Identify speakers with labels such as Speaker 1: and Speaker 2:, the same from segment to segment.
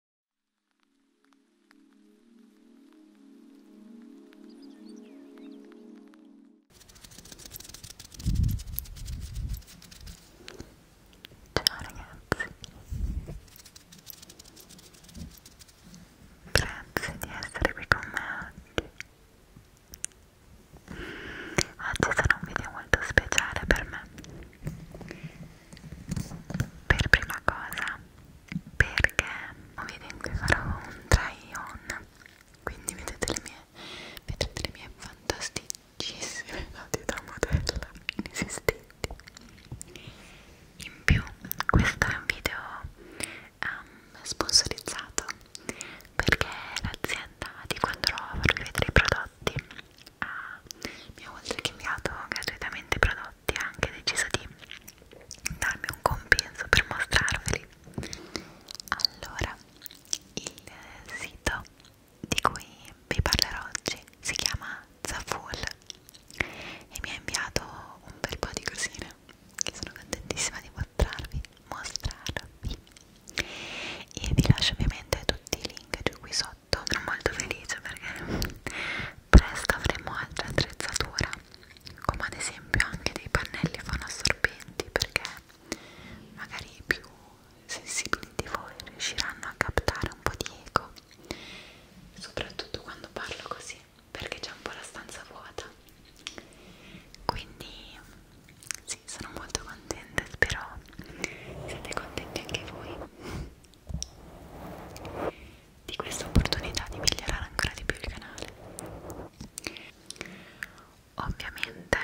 Speaker 1: Ciao ragazzi, grazie di essere qui con me oggi. Oggi sarà un video molto speciale per me per prima cosa perché ovviamente farò un try on quindi vedete le mie vedete le mie fantasticissime dati da modella inesistenti in più questo è un video um, ehm, sponsorizzato perché l'azienda di quando andrò a farvi vedere i prodotti ah, mi ha oltre che inviato gratuitamente prodotti ha anche deciso di darmi un compenso per mostrarveli allora il sito di cui vi parlerò oggi si chiama Zaful e mi ha inviato un bel po' di cosine che sono contentissima di mostrarvi mostrarvi e vi lascio ovviamente tutti i link di cui sono 2018 sono molto felice perché presto avremo altra attrezzatura come ad esempio anche dei pannelli fonoassorbenti perché magari i più sensibili di voi riusciranno a captare un po' di eco soprattutto quando parlo così perché c'è un po' la stanza vuota quindi sì sono molto contenta spero siate contenti anche voi di questa opportunità di migliorare ancora di più il canale ovviamente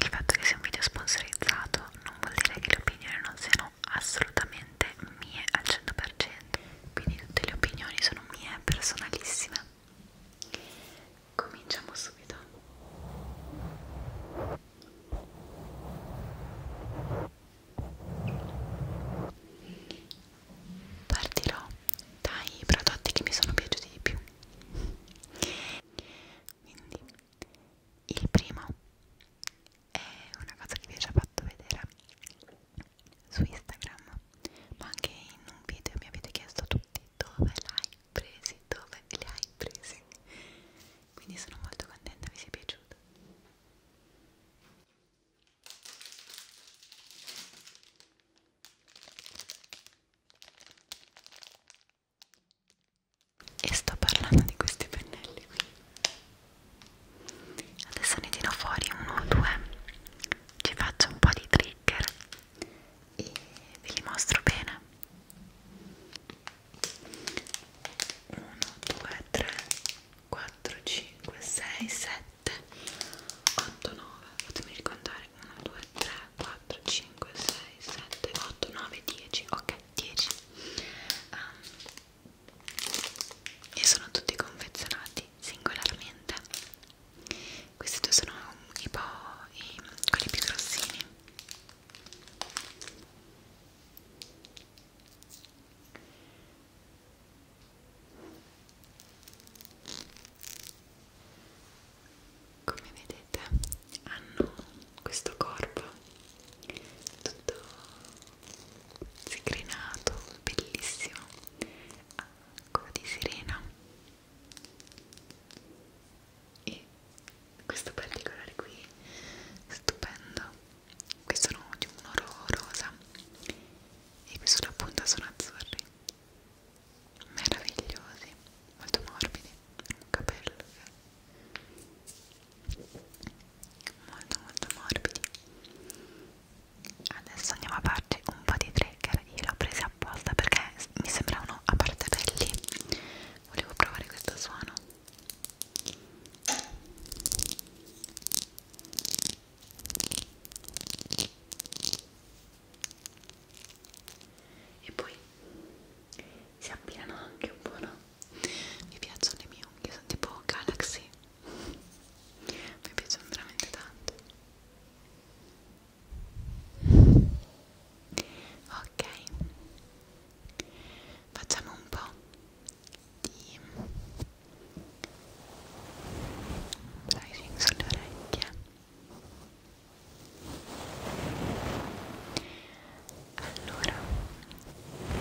Speaker 1: il fatto che sia un video sponsorizzato non vuol dire che le opinioni non siano assolutamente mie al 100% quindi tutte le opinioni sono mie personalissime cominciamo subito Partirò dai prodotti che mi sono piaciuti di più. Quindi, il primo è una cosa che vi ho già fatto vedere su Instagram, ma anche in un video mi avete chiesto tutti dove l'hai presi, dove le hai presi. Quindi sono molto contenta, vi sia piaciuto. E sto parlando di questi pennelli qui. Adesso ne tiro fuori uno o due, ci faccio un po' di trigger e ve li mostro bene. 1, 2, 3, 4, 5, 6, 7, 8, 9, fatemi ricontare 1, 2, 3, 4, 5, 6, 7, 8, 9, 10, ok 10 um, ehm, e sono tutti confezionati singolarmente questi due sono i po' i, quelli più grossini come vedete hanno questo corpo tutto zigrinato, bellissimo a coda di sirena e questo particolare qui stupendo qui sono di un oro rosa e qui sono appunto sono azzurri meravigliosi molto morbidi un capello che eh. molto molto morbidi adesso andiamo a farci un po' di trigger io l'ho presa apposta perché mi sembravano a parte belli volevo provare questo suono e poi si abbinano anche un po' no? mi piacciono le mie unghie sono tipo galaxy mi piacciono veramente tanto ok facciamo un po' di bracing sulle orecchie allora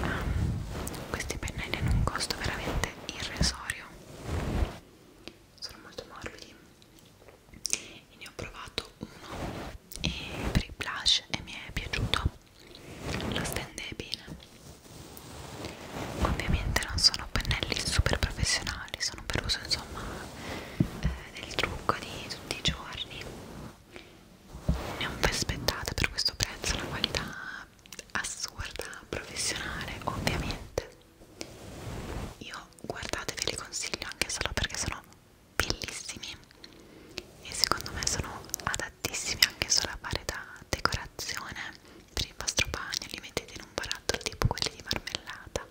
Speaker 1: ah, questi pennelli hanno un costo veramente irrisorio sono molto morbidi e ne ho provato uno e per il blush e mi è piaciuto la stende bene ovviamente non sono pennelli super professionali sono per uso insomma eh, del trucco di tutti i giorni ne ho aspettata per questo prezzo una qualità assurda professionale ovviamente io guardate ve li consiglio anche solo perché sono bellissimi e secondo me sono ad adattissimi anche solo a fare da decorazione per il vostro bagno, li mettete in un barattolo tipo quelli di marmellata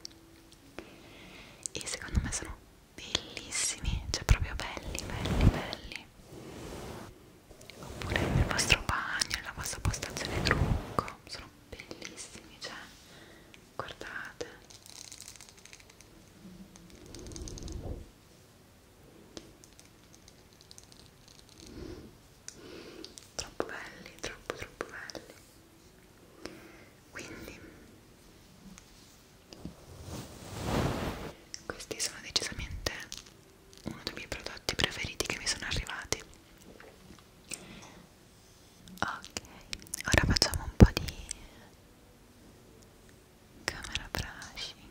Speaker 1: e secondo me sono bellissimi, cioè proprio belli, belli, belli oppure nel vostro bagno, nella vostra postazione trucco sono bellissimi, cioè guardate troppo belli, troppo troppo belli quindi questi sono decisamente uno dei miei prodotti preferiti che mi sono arrivati ok ora facciamo un po' di camera brushing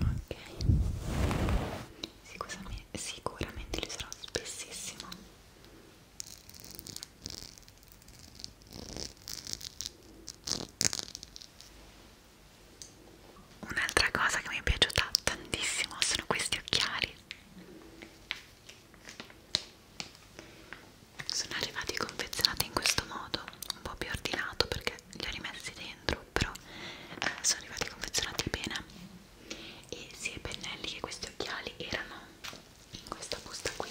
Speaker 1: Ok, sicuramente, sicuramente li sarò spessissimo. Ok, Un'altra cosa che mi è piaciuta tantissimo sono questi occhiali. Sono arrivati confezionati in questo modo, un po' più ordinato perché li ho rimessi dentro, però eh, sono arrivati confezionati bene. E sia i pennelli che questi occhiali erano in questa busta qui.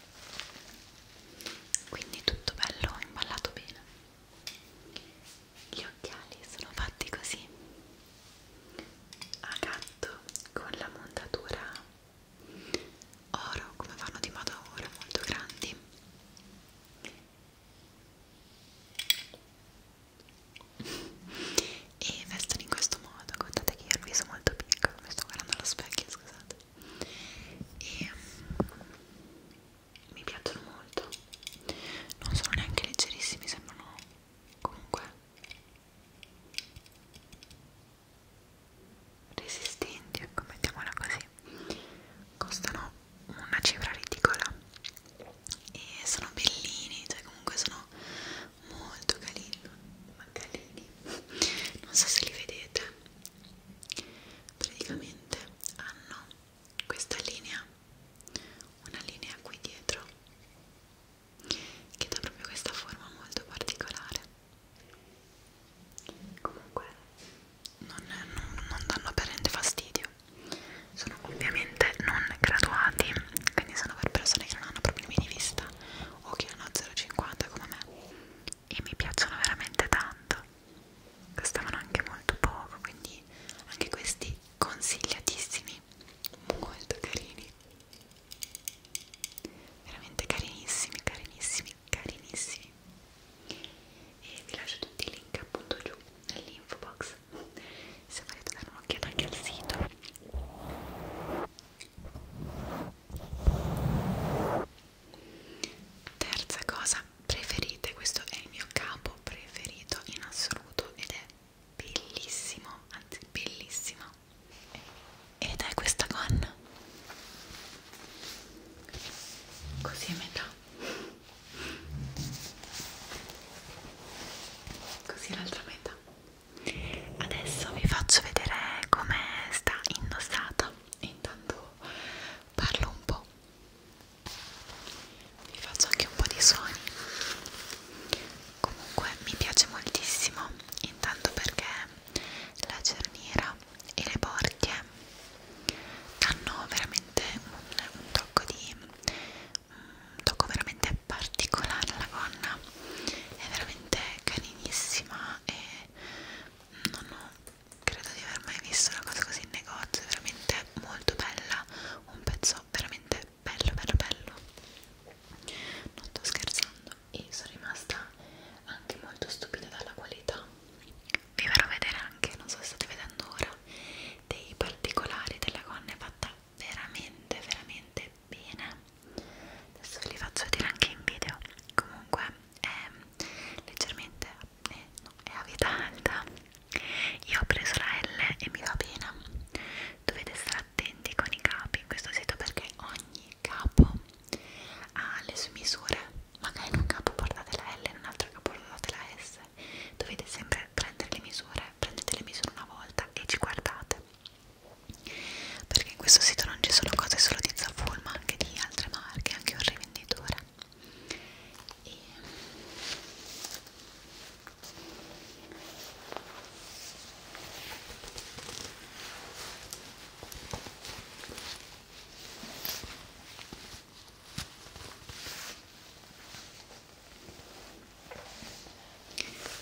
Speaker 1: quindi tutto bello imballato bene gli occhiali sono fatti così a gatto con la montatura oro come fanno di moda ora molto grandi e vestono in questo modo guardate che io ho il viso molto piccolo mi sto guardando allo specchio scusate e mm, mi piacciono molto non sono neanche leggerissimi sembrano comunque resistenti ecco mettiamola così costano una cifra ridicola e sono bellini cioè comunque sono molto carini ma carini non so se li vedete praticamente hanno questa linea una linea qui dietro che dà proprio questa forma molto particolare comunque non, non, non danno apparente fastidio sono ovviamente non graduati quindi sono per persone che non hanno problemi di vista o che hanno 0,50 come me e mi piacciono veramente tanto costavano anche molto poco quindi anche questi consigliatissimi molto carini veramente carinissimi carinissimi carinissimi e vi lascio tutti i link appunto giù nell'info box se volete dare un'occhiata anche al sito Terza cosa, preferite, questo è il mio capo preferito in assoluto ed è bellissimo, anzi bellissimo. Ed è questa gonna. Così a metà. Così l'altra metà. Adesso vi faccio vedere come sta indossata basta intanto parlo un po' vi faccio anche un po' di suoni comunque mi piace moltissimo intanto perché la cerniera e le porchie hanno veramente un, un tocco di un tocco veramente particolare alla gonna è veramente carinissima e non ho, credo di aver mai visto una cosa così in negozio, è veramente molto bella, un pezzo veramente bello bello bello, non sto scherzando e sono rimasta anche molto stupita dalla qualità. Vi farò vedere anche, non so se state vedendo ora, dei particolari della gonna è fatta veramente veramente bene adesso ve li faccio vedere anche in video comunque è ehm, leggermente è, eh, no, è a vita alta io ho preso la L e mi va bene dovete stare attenti con i capi in questo sito perché ogni capo ha le sue misure magari in un capo portate la L e in un altro capo portate la S dovete sempre prendere le misure prendete le misure una volta e ci guardate perché in questo sito non ci sono cose solo di Zaful ma anche di altre marche, anche un rivenditore e...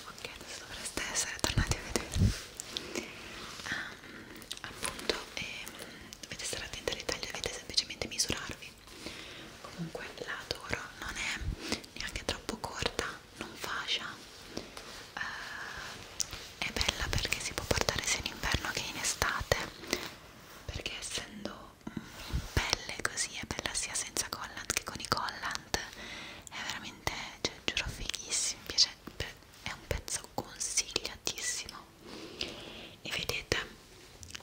Speaker 1: Ok, adesso dovreste essere tornati a vedere. Um, appunto e dovete stare attenti alle taglie dovete semplicemente misurarvi comunque la adoro non è neanche troppo corta non fascia eh, è bella perché si può portare sia in inverno che in estate perché essendo in pelle così è bella sia senza collant che con i collant è veramente, cioè giuro fighissimo, mi piace, è un pezzo consigliatissimo e vedete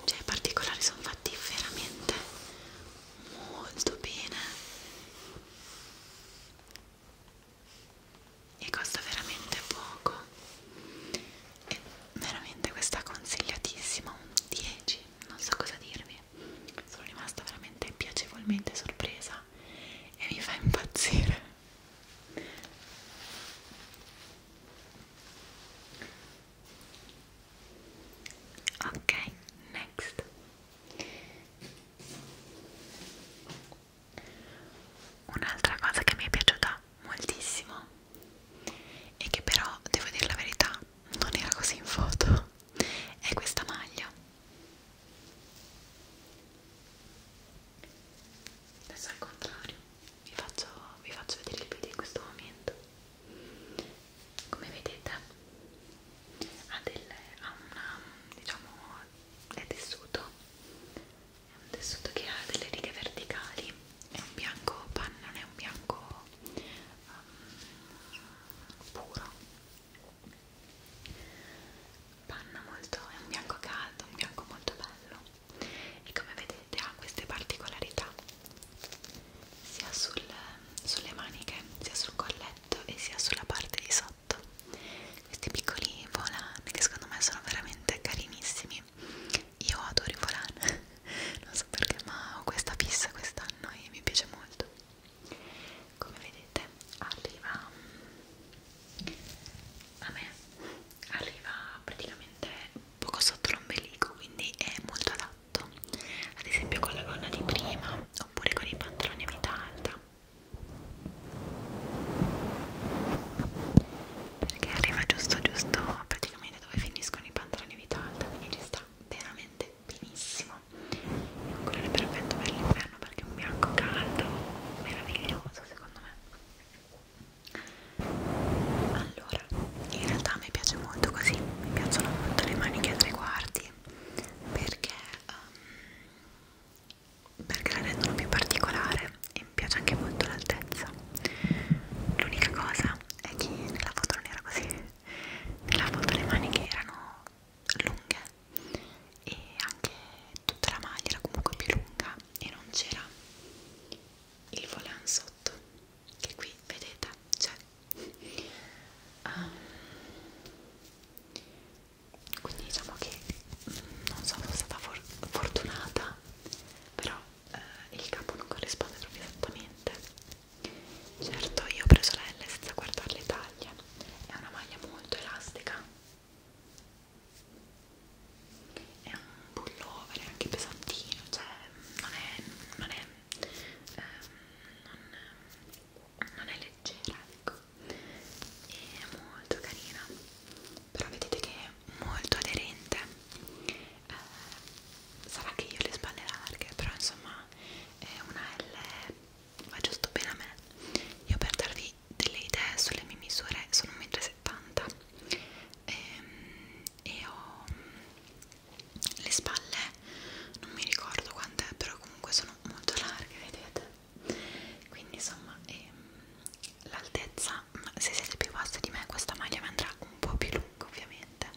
Speaker 1: cioè i particolari sono fatti veramente molto bene e costa veramente poco e veramente questa consigliatissima un 10 non so cosa dirvi sono rimasta veramente piacevolmente sorpresa e mi fa impazzire ok next un'altra cosa che mi è piaciuta moltissimo e che però devo dire la verità non era così in foto è questa maglia adesso al contrario vi faccio, vi faccio vedere il video in questo momento come vedete ha, delle, ha una diciamo è tessuto è un tessuto che ha delle righe verticali è un bianco panna non è un bianco um, puro panna molto, è un bianco caldo, un bianco molto bello e come vedete ha queste particolarità sia sul, sulle maniche, sia sul colletto e sia sulla parte di sotto questi piccoli volan che secondo me sono veramente carinissimi io adoro i volan, non so perché ma ho questa fissa quest'anno e mi piace molto come vedete arriva a me arriva praticamente poco sotto l'ombelico quindi è molto adatto ad esempio con la gonna di prima oppure con i pantaloni a vita alta perché arriva giusto giusto praticamente dove finiscono i pantaloni a vita alta quindi ci sta veramente benissimo è un colore perfetto per l'inverno perché è un bianco caldo meraviglioso secondo me allora in realtà mi piace molto così mi piacciono molto le maniche a tre quarti perché um, perché la rendono più particolare e mi piace anche molto l'altezza l'unica cosa è che nella foto non era così nella foto le maniche erano lunghe e anche tutta la maglia era comunque più lunga e non c'era il volant sotto che qui vedete c'è um, quindi diciamo che mm, non so sono stata for fortunata però eh, il capo non corrisponde proprio esattamente certo io ho preso la L senza guardare le taglie è una maglia molto elastica è un pullover è anche pesantino cioè non è non è, ehm, non, non è leggera ecco è molto carina però vedete che è molto aderente eh, sarà che io le spalle larghe però insomma è una L va giusto bene a me io per darvi delle idee sulle mie misure, sono 1,70 m e, ehm, e ho le spalle, non mi ricordo quant'è, però comunque sono molto larghe, vedete? Quindi insomma ehm, l'altezza, se siete più basse di me questa maglia mi andrà un po' più lunga ovviamente.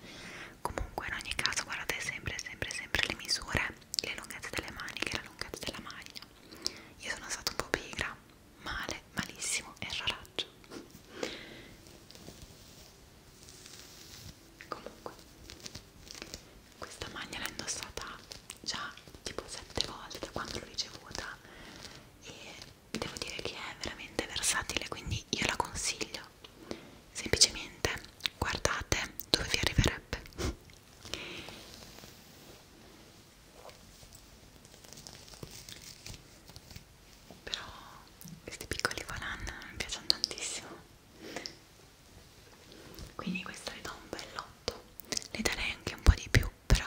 Speaker 1: Comunque in ogni caso guardate sempre, sempre, sempre le misure, le lunghezze delle maniche, la lunghezza della maglia. Io sono stata un po' pigra, male, malissimo, erroraggio comunque questa maglia l'ho indossata già tipo sette volte da quando l'ho ricevuta e devo dire che è veramente versatile quindi io la consiglio semplicemente guardate dove vi arriverebbe però questi piccoli faran mi piacciono tantissimo quindi questa le do un bell'otto le darei anche un po' di più però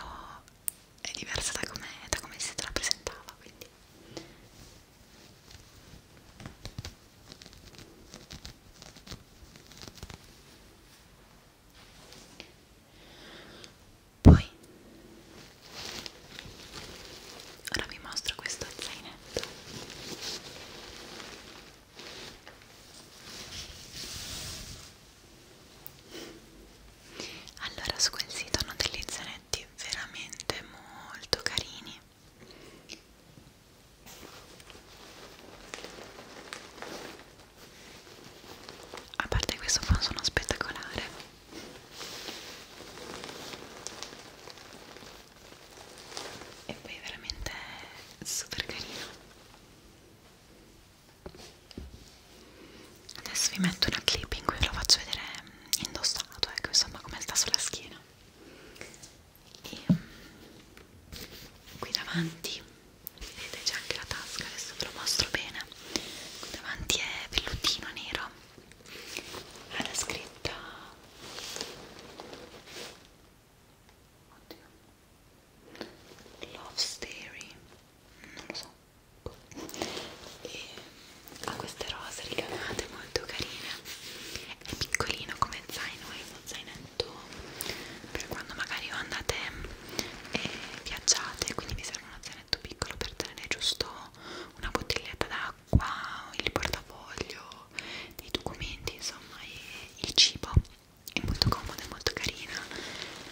Speaker 1: è diversa da come, da come si rappresentava quindi poi ora vi mostro questo zainetto allora su quel sito hanno degli zainetti veramente molto carini a parte questo fa un suono spettacolare e poi è veramente super carino adesso vi metto una clip in cui ve lo faccio vedere mm, indossato ecco insomma come sta sulla schiena e mm, qui davanti vedete c'è anche la tasca adesso ve lo mostro bene qui davanti è vellutino nero ha la scritta oddio love story non lo so e ha queste rose ricamate molto carine è piccolino come zaino è uno zainetto per quando magari andate e viaggiate quindi vi serve uno zainetto piccolo per tenere giusto una bottiglietta d'acqua il portafoglio dei documenti insomma e il cibo è molto comoda, è molto carina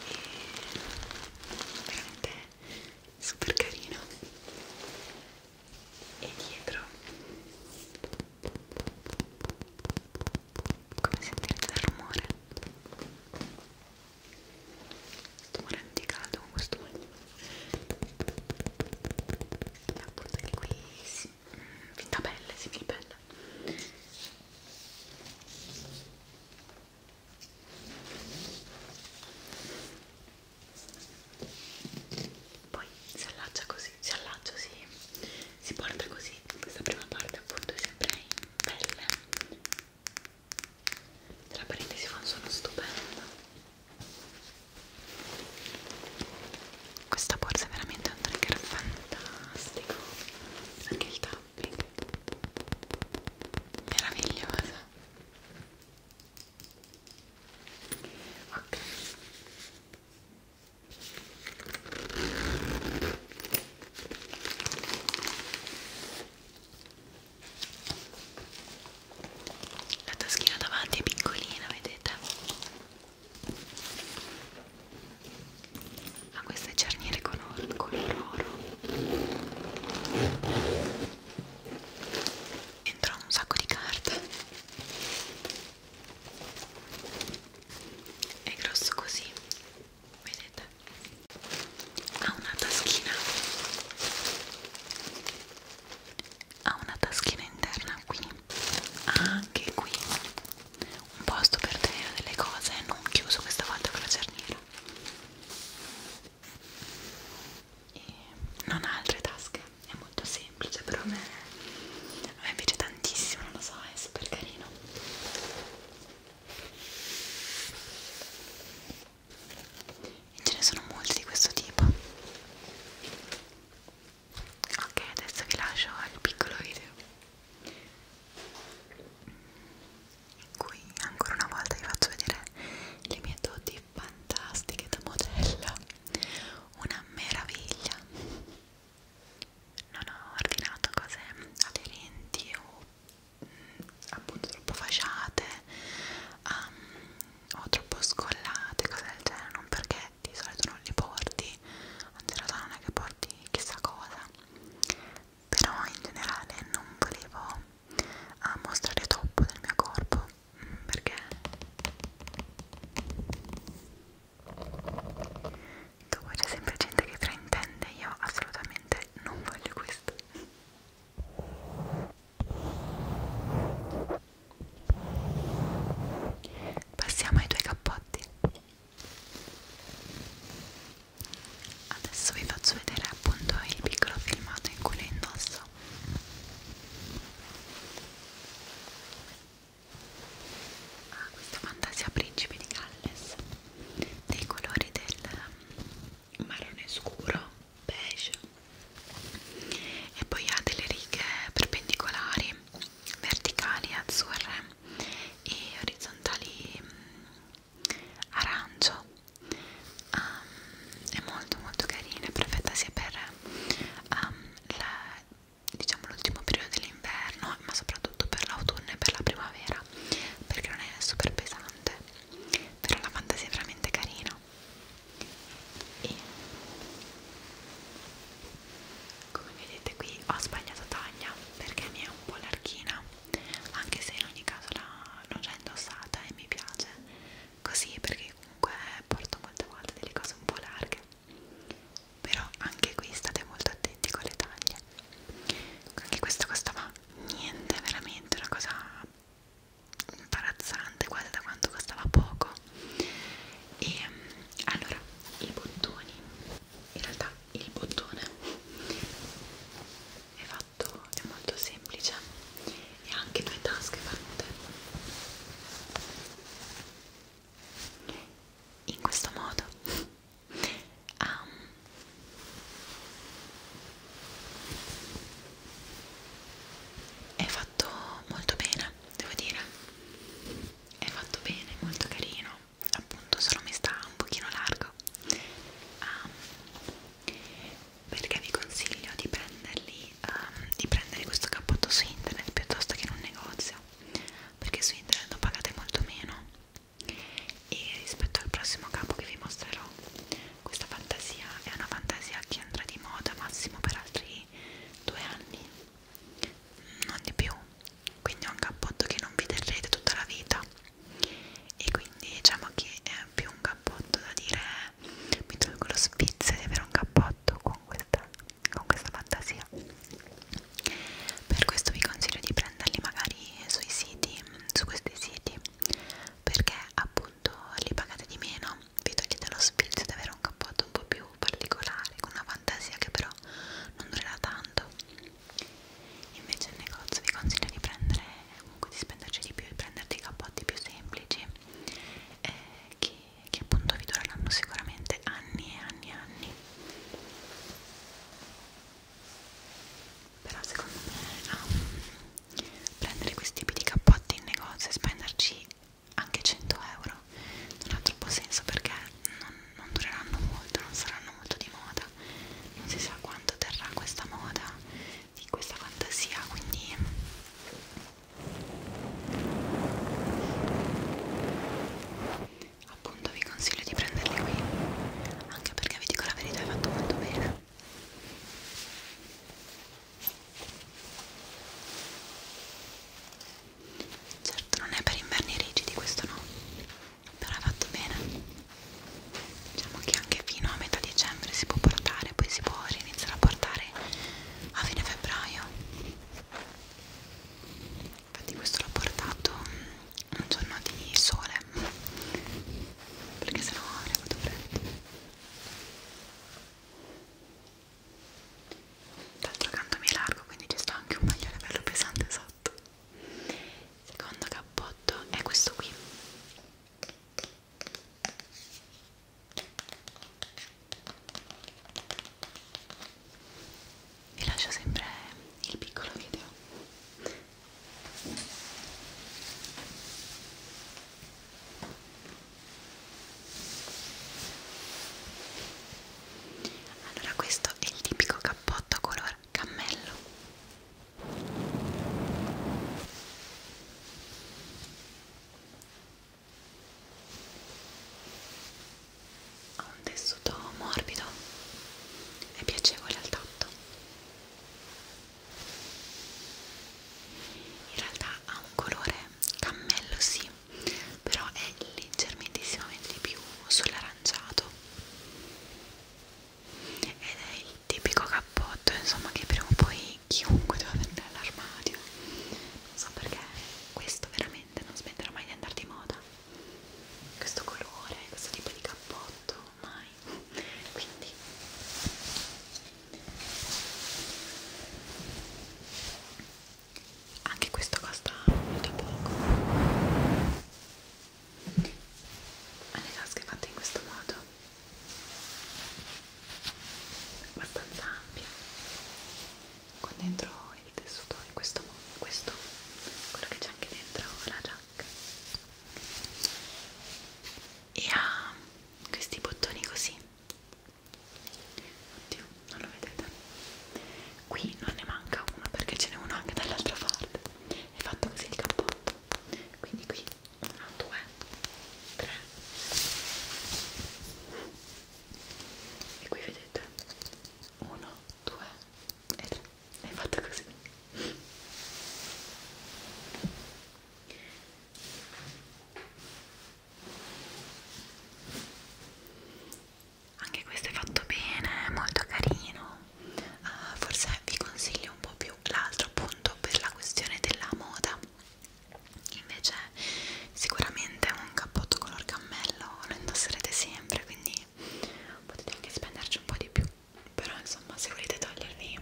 Speaker 1: e veramente super carino e dietro come sentite il rumore Sto morendo di caldo con questo olio. Appunto che qui si... Mm, fin da pelle, si fin bella. Poi si allaccia così, si allaccia, si, si porta così. Questa prima parte appunto è sempre in pelle tra parentesi fa un suono stupendo questa borsa è veramente un trigger fantastico anche il tapping meravigliosa ok la taschina davanti è piccolina, vedete? Ha queste cerniere con oro. Entra un sacco di carte. È grosso così vedete ha una taschina ha una taschina interna qui anche qui un posto per tenere delle cose non chiuso questa volta con la cerniera e non ha altre tasche è molto semplice però a me, a me piace tantissimo non lo so è super carino e ce ne sono molti di questo tipo ok adesso vi lascio al piccolo video in cui ancora una volta vi faccio vedere le mie doti fantastiche da modella una meraviglia non ho ordinato cose aderenti o appunto troppo fasciate um, o troppo scollate, cose del genere, non perché di solito non li porti, anzi in realtà non è che porti chissà cosa, però in generale non volevo uh, mostrare troppo del mio corpo mm, perché dopo c'è sempre gente che fraintende io assolutamente non voglio questo passiamo ai tuoi cappotti adesso vi faccio vedere appunto il piccolo filmato in cui lo indosso ah, questa fantasia principe di Galles dei colori del marrone scuro beige e poi ha delle righe perpendicolari verticali azzurre e orizzontali mm, arancio um, è molto molto carina è perfetta sia per um, la, diciamo l'ultimo periodo dell'inverno ma soprattutto per l'autunno e per la primavera perché non è super pesante interessante però la fantasia è veramente carina e come vedete qui ho sbagliato taglia perché mi è un po' larghina anche se in ogni caso l'ho già indossata e mi piace così perché comunque porto molte volte delle cose un po' larghe però anche qui state molto attenti con le taglie anche questo costava niente, veramente una cosa imbarazzante quasi da quanto costava poco e allora i bottoni in realtà il bottone è fatto è molto semplice e ha anche due tasche fatte in questo modo Um, è fatto molto bene, devo dire. È fatto bene, molto carino. Appunto, solo mi sta un pochino largo. Um, perché vi consiglio di prenderli, um, di prendere questo cappotto su internet piuttosto che in un negozio perché su internet lo pagate molto meno e rispetto al prossimo capo che vi mostrerò questa fantasia è una fantasia che andrà di moda massimo per altri due anni non di più quindi è un cappotto che non vi terrete tutta la vita e quindi diciamo che è più un cappotto da dire mi tolgo lo sfizio di avere un cappotto con questa, con questa fantasia per questo vi consiglio di prendere prenderli magari sui siti, su questi siti perché appunto li pagate di meno, vi togliete lo sfizio di avere un cappotto un po' più particolare, con una fantasia che però non durerà tanto. Invece al negozio vi consiglio di prendere, comunque di spenderci di più e prenderti i cappotti più semplici eh, che, che appunto vi dureranno sicuramente anni e anni e anni però secondo me um, prendere questi tipi di cappotti in negozio e spenderci anche 100 euro non ha troppo senso perché non, non dureranno molto, non saranno molto di moda non si sa quanto terrà questa moda di questa fantasia quindi appunto vi consiglio di prenderli qui anche perché vi dico la verità hai fatto molto bene certo non è per inverni rigidi questo no però hai fatto bene diciamo che anche fino a metà dicembre si può portare poi si può iniziare a portare a fine febbraio infatti questo l'ho portato mm, un giorno di sole perché sennò ne vado freddo d'altro canto mi è largo quindi ci sta anche un maglione bello pesante sotto secondo cappotto è questo qui vi lascio sempre il piccolo video allora questo è il tipico cappotto color cammello. Ha un tessuto morbido e piacevole al tatto in realtà ha un colore cammello sì però è leggermente di più sull'aranciato ed è il tipico cappotto insomma che prima o poi chiunque deve avere all'armadio non so perché questo veramente non smetterà mai di andare di moda questo colore questo tipo di cappotto mai mai quindi anche questo costa molto poco ha le tasche fatte in questo modo abbastanza ampia con dentro il tessuto in questo modo questo quello che c'è anche dentro la giacca e ha questi bottoni così oddio non lo vedete qui non ne manca uno perché ce n'è uno anche dall'altra parte è fatto così il cappotto quindi qui 1, 2, 3 e qui vedete 1, 2 e 3 è fatta così anche questo è fatto bene, molto carino uh, forse vi consiglio un po' più l'altro appunto per la questione della moda invece sicuramente un cappotto color cammello lo indosserete sempre quindi potete anche spenderci un po' di più però insomma se volete togliervi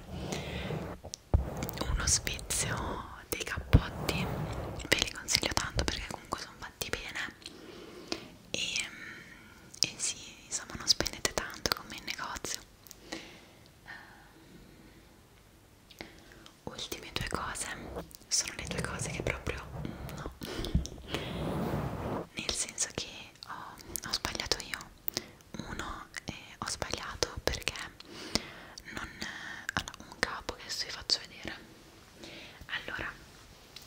Speaker 1: uno spizio dei cappotti ve li consiglio tanto perché comunque sono fatti bene e, e sì insomma non spendete tanto come in negozio ehm, ultime due cose sono le due cose che proprio no nel senso che ho, ho sbagliato io uno eh, ho sbagliato perché non allora, un capo adesso vi faccio vedere allora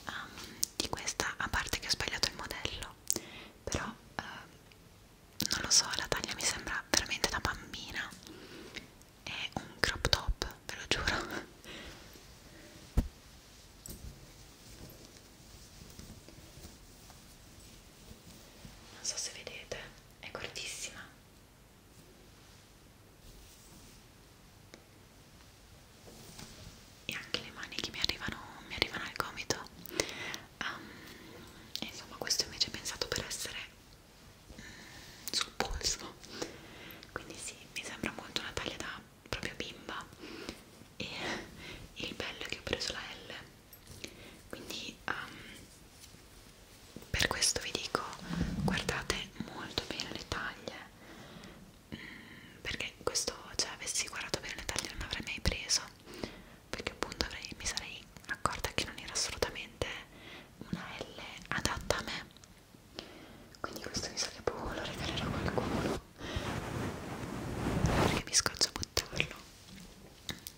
Speaker 1: um, di questa a parte che ho sbagliato il modello però uh, non lo so la taglia mi sembra veramente da bambina è un crop top ve lo giuro non so se vedete, è cortissima e anche le mani che mi arrivano, mi arrivano al gomito um, insomma questo invece è pensato per essere mm, sul polso quindi sì, mi sembra molto una taglia da proprio bimba e il bello è che ho preso la L quindi um, per questo vi dico guardate molto bene le taglie mm, perché questo cioè avessi guardato bene le taglie non avrei mai preso perché appunto avrei, mi sarei accorta che non era assolutamente una L adatta a me quindi questo mi sa che poi lo regalerò a qualcuno perché mi scoccio a buttarlo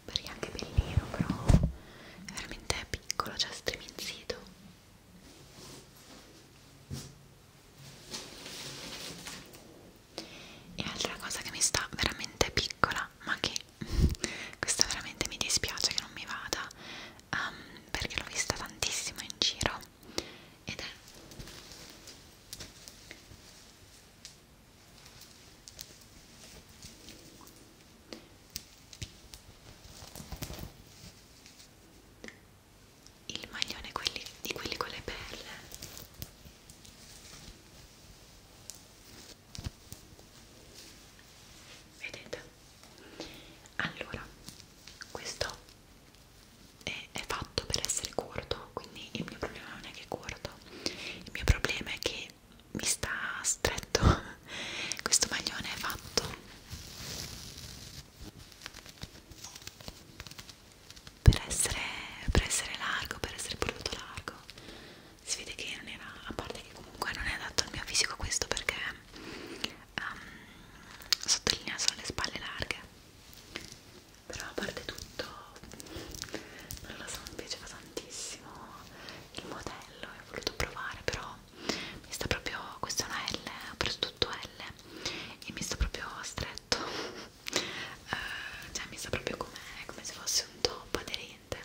Speaker 1: perché è anche bellino però è veramente piccolo, cioè striminzito e altra cosa che mi sta veramente piccola ma che questa veramente mi dispiace che non mi vada um, perché l'ho vista tantissimo in giro ed è il maglione quelli, di quelli con le perle vedete allora questo è, è fatto per essere corto quindi il mio problema non è che è corto modo il mio problema è che mi sta stretto questo maglione è fatto per essere, per essere largo per essere prodotto largo si vede che non era a parte che comunque non è adatto al mio fisico questo perché um, sottolinea solo le spalle larghe però a parte tutto non lo so mi piaceva tantissimo il modello e ho voluto provare però mi sta proprio questa è una L ho preso tutto L e mi sta proprio stretto uh, cioè mi sta proprio com come se fosse un top aderente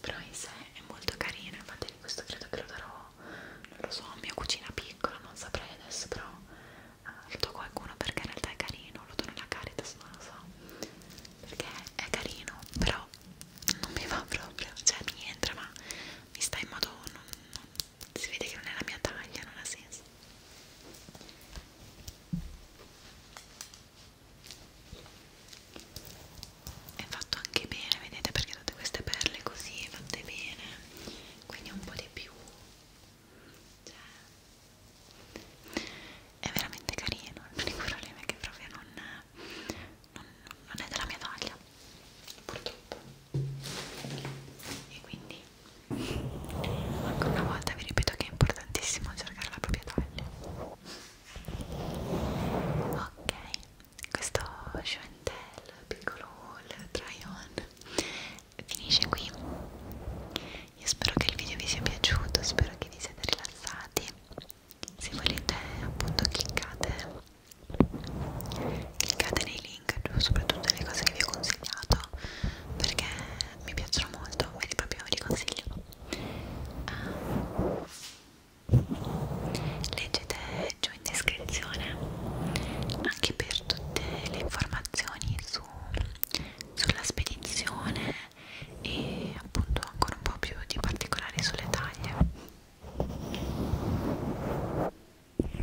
Speaker 1: però in sé è molto carino infatti questo credo che lo darò non lo so a mia cucina piccola non saprei adesso però lo do a qualcuno perché in realtà è carino, lo do nella Caritas, non lo so perché è carino, però non mi va proprio, cioè mi entra ma mi sta in modo, non, non, si vede che non è la mia taglia, non ha senso è fatto anche bene, vedete perché tutte queste perle così fatte bene quindi un po' di più cioè, è veramente carino l'unico problema è che proprio non, non, non è della mia taglia purtroppo e quindi ancora una volta vi ripeto che è importantissimo cercare la propria taglia ok questo Chantel piccolo haul try on finisce qui io spero che il video vi sia piaciuto spero che vi siate rilassati se volete appunto cliccate cliccate nei link soprattutto le cose che vi ho consigliato perché mi piacciono molto ve li proprio vi consiglio uh, leggete giù in descrizione anche per tutte le informazioni su, sulla spedizione e appunto ancora un po' più di particolari sulle taglie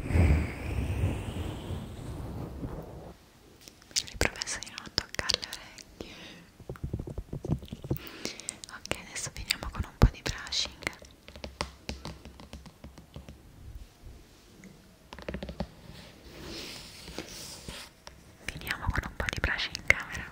Speaker 1: mi ho ripromesso di non toccare le orecchie ok adesso finiamo con un po' di brushing Finiamo con un po' di brace in camera.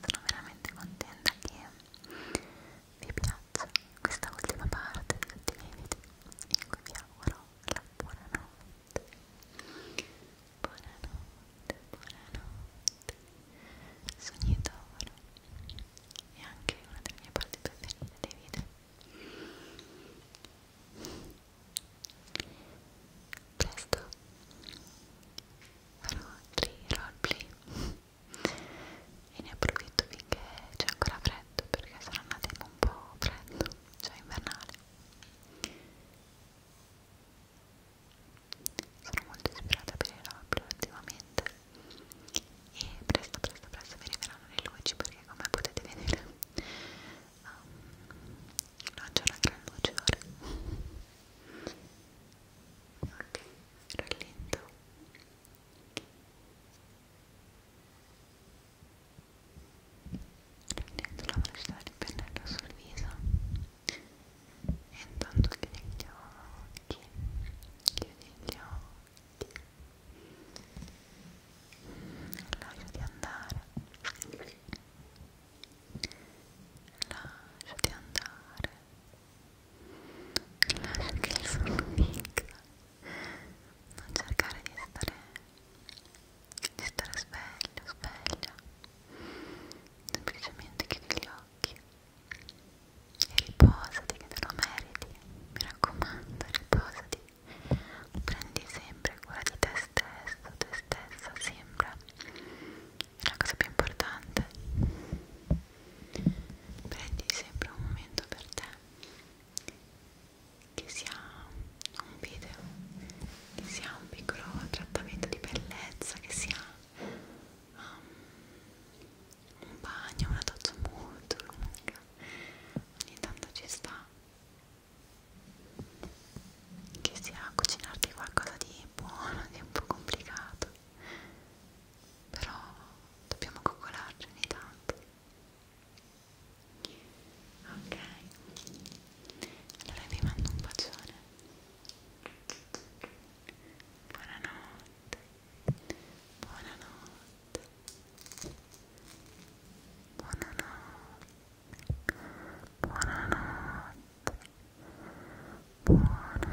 Speaker 1: Sono veramente contenta che vi piaccia questa ultima parte di tutti i miei video in cui vi auguro la buonanotte buonanotte, buonanotte sogni d'oro è anche una delle mie parti preferite dei video presto farò altri roleplay e ne approfitto finché c'è ancora freddo perché sarà una tema un po' freddo, cioè invernale sono molto ispirata per il rock ultimamente e presto presto presto mi arriveranno le luci perché come potete vedere um, non c'è una gran luce ora ok, rallento prendendo la velocità del pennello sul viso e intanto chiudi gli occhi chiudi gli occhi lasciati andare lasciati andare lascia che il sonno vinca non cercare di stare di stare sveglio, sveglia semplicemente chiudi gli occhi e riposati che te lo meriti mi raccomando, riposati prendi sempre cura di te stesso, te stessa sempre è la cosa più importante prendi sempre un momento per te che sia un video, che sia un piccolo trattamento di bellezza, che sia um, un bagno, una doccia molto lunga, ogni tanto ci sta, che sia cucinarti qualcosa di buono, di un po' complicato, però dobbiamo coccolarci ogni tanto ok allora vi mando un bacione buonanotte buonanotte buonanotte buonanotte buonanotte buonanotte